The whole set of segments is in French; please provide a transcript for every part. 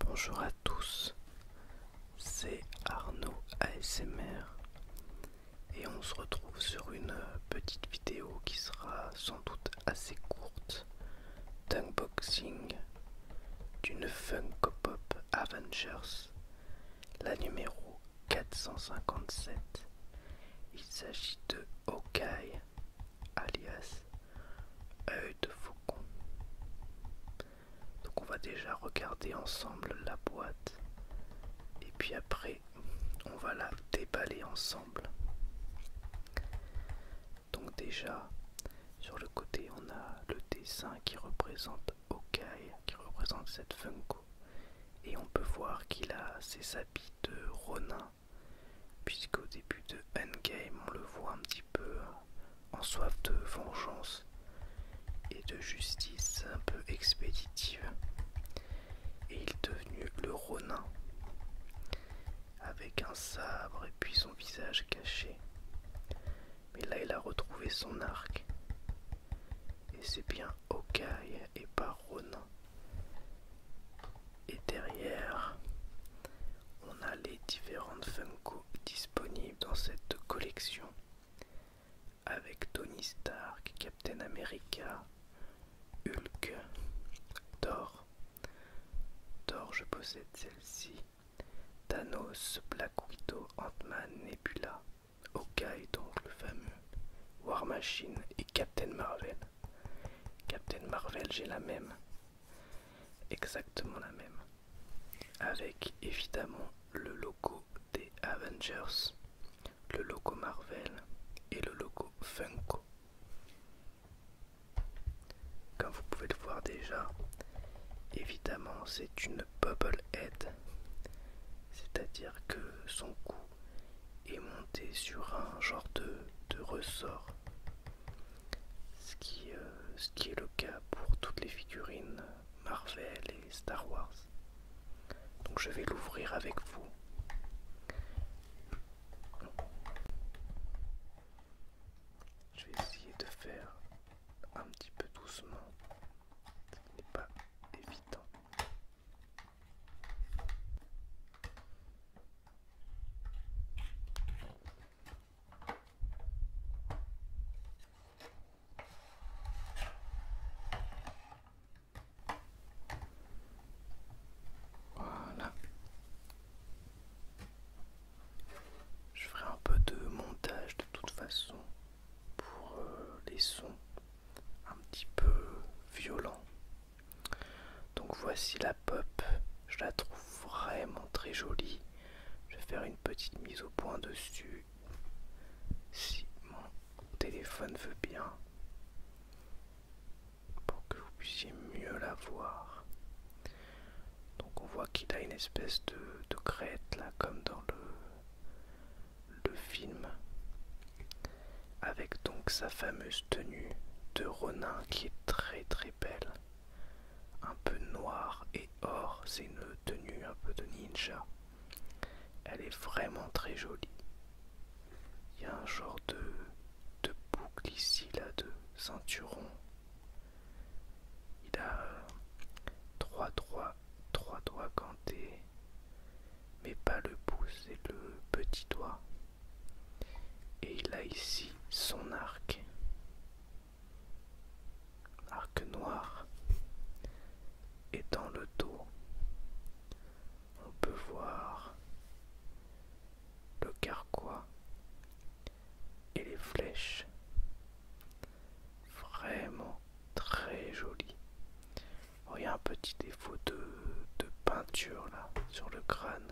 Bonjour à tous, c'est Arnaud ASMR et on se retrouve sur une petite vidéo qui sera sans doute assez courte d'unboxing d'une Funko Pop Avengers la numéro 457. Il s'agit de Hokai, alias œil de faucon. Donc on va déjà regarder ensemble la boîte et puis après on va la déballer ensemble. Donc déjà sur le côté on a le dessin qui représente Okai qui représente cette Funko. Et on peut voir qu'il a ses habits de Ronin, puisqu'au début de Endgame, on le voit un petit peu en soif de vengeance et de justice un peu expéditive. Et il est devenu le Ronin, avec un sabre et puis son visage caché mais là il a retrouvé son arc. Et c'est bien Hawkeye et pas Et derrière, on a les différentes Funko disponibles dans cette collection. Avec Tony Stark, Captain America, Hulk, Thor. Thor, je possède celle-ci. Thanos, Black Widow, Ant-Man, Nebula, Hawkeye donc le fameux, War Machine et Captain Marvel. Captain Marvel, j'ai la même, exactement la même, avec évidemment le logo des Avengers, le logo Marvel et le logo Funko. Comme vous pouvez le voir déjà, évidemment c'est une bubble head, c'est-à-dire que son cou est monté sur un genre de, ressort, euh, ce qui est le cas pour toutes les figurines Marvel et Star Wars. Donc je vais l'ouvrir avec vous. Je vais essayer de faire un petit peu doucement, ce n'est pas évident. Voilà. Je ferai un peu de montage de toute façon pour euh, les sons un petit peu violents. Donc voici la pop, je la trouve vraiment très jolie. Je vais faire une petite mise au point dessus. Si mon téléphone veut bien. Pour que vous puissiez mieux la voir. Donc on voit qu'il a une espèce de, crête là comme dans le, film. Avec donc sa fameuse tenue de Ronin qui est très très belle. Un peu noire et or, c'est une tenue un peu de ninja. Elle est vraiment très jolie. Il y a un genre de, de boucle ici, là, de ceinturon il a euh, trois doigts, trois mais pas le pouce et le petit doigt. Et il a ici son arc. Arc noir. Et dans le dos, on peut voir le carquois et les flèches. Vraiment très jolies. Oh, il y a un petit défaut de, peinture là sur le crâne.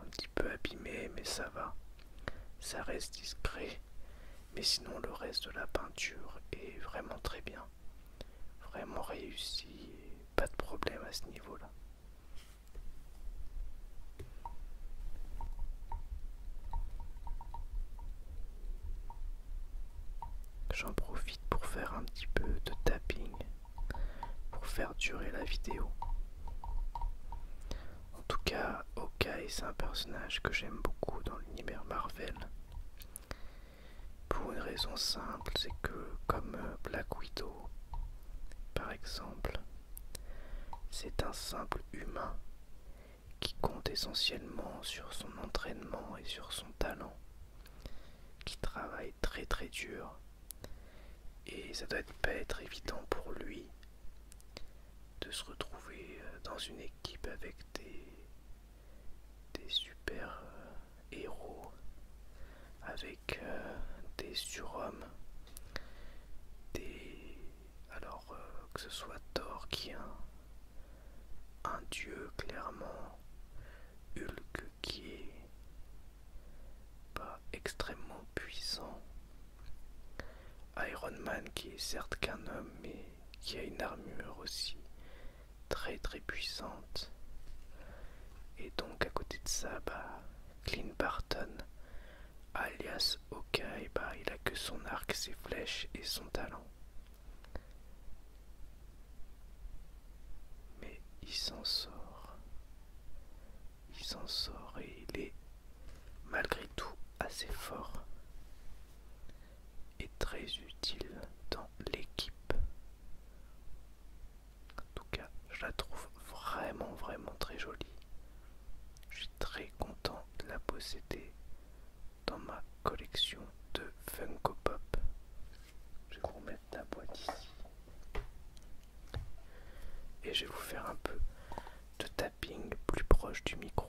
Un petit peu abîmé, mais ça va. Ça reste discret. Mais sinon, le reste de la peinture est vraiment très bien. Vraiment réussi. pas de problème à ce niveau-là. J'en profite pour faire un petit peu de tapping pour faire durer la vidéo. En tout cas, Hawkeye, c'est un personnage que j'aime beaucoup dans l'univers Marvel. Pour une raison simple, c'est que comme euh, Black Widow, par exemple, c'est un simple humain qui compte essentiellement sur son entraînement et sur son talent, qui travaille très très dur, et ça doit pas être évident pour lui de se retrouver euh, dans une équipe avec des super euh, héros avec euh, des surhommes, des... alors euh, que ce soit Thor qui est un, un dieu clairement, Hulk qui est pas extrêmement puissant, Iron Man qui est certes qu'un homme mais qui a une armure aussi très très puissante et donc à côté de ça bah Clint Barton, alias Hawkeye, ben, il a que son arc, ses flèches et son talent. Mais il s'en sort. Il s'en sort et il est malgré tout assez fort et très utile dans l'équipe. En tout cas, je la trouve vraiment, vraiment très jolie. Je suis très content de la posséder dans ma collection de Funko Pop. Je vais vous remettre la boîte ici. Et je vais vous faire un peu de tapping plus proche du micro.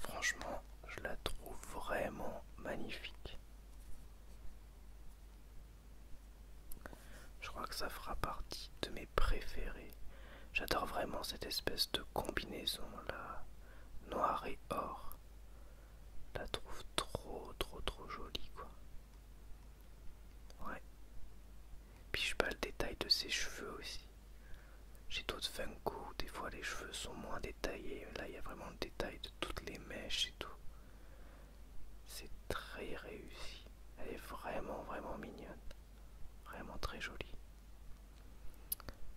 Franchement, je la trouve vraiment magnifique. Je crois que ça fera partie de mes préférés. J'adore vraiment cette espèce de combinaison là, noir et or. Je la trouve trop trop trop jolie quoi. Ouais. Puis je pas le détail de ses cheveux aussi. J'ai d'autres Funko, des fois les cheveux sont moins détaillés. Là, il y a vraiment le détail de toutes les mèches et tout. C'est très réussi. Elle est vraiment, vraiment mignonne. Vraiment très jolie.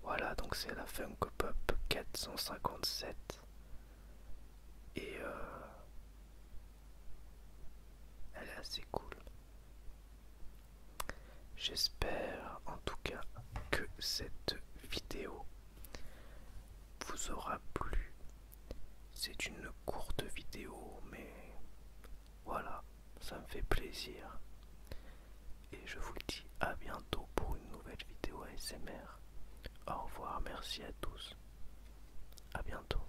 Voilà, donc c'est la Funko Pop 457. Et euh, elle est assez cool. J'espère en tout cas que cette vidéo vous aura plu. C'est une courte vidéo, mais voilà, ça me fait plaisir. Et je vous dis à bientôt pour une nouvelle vidéo ASMR. Au revoir, merci à tous. À bientôt.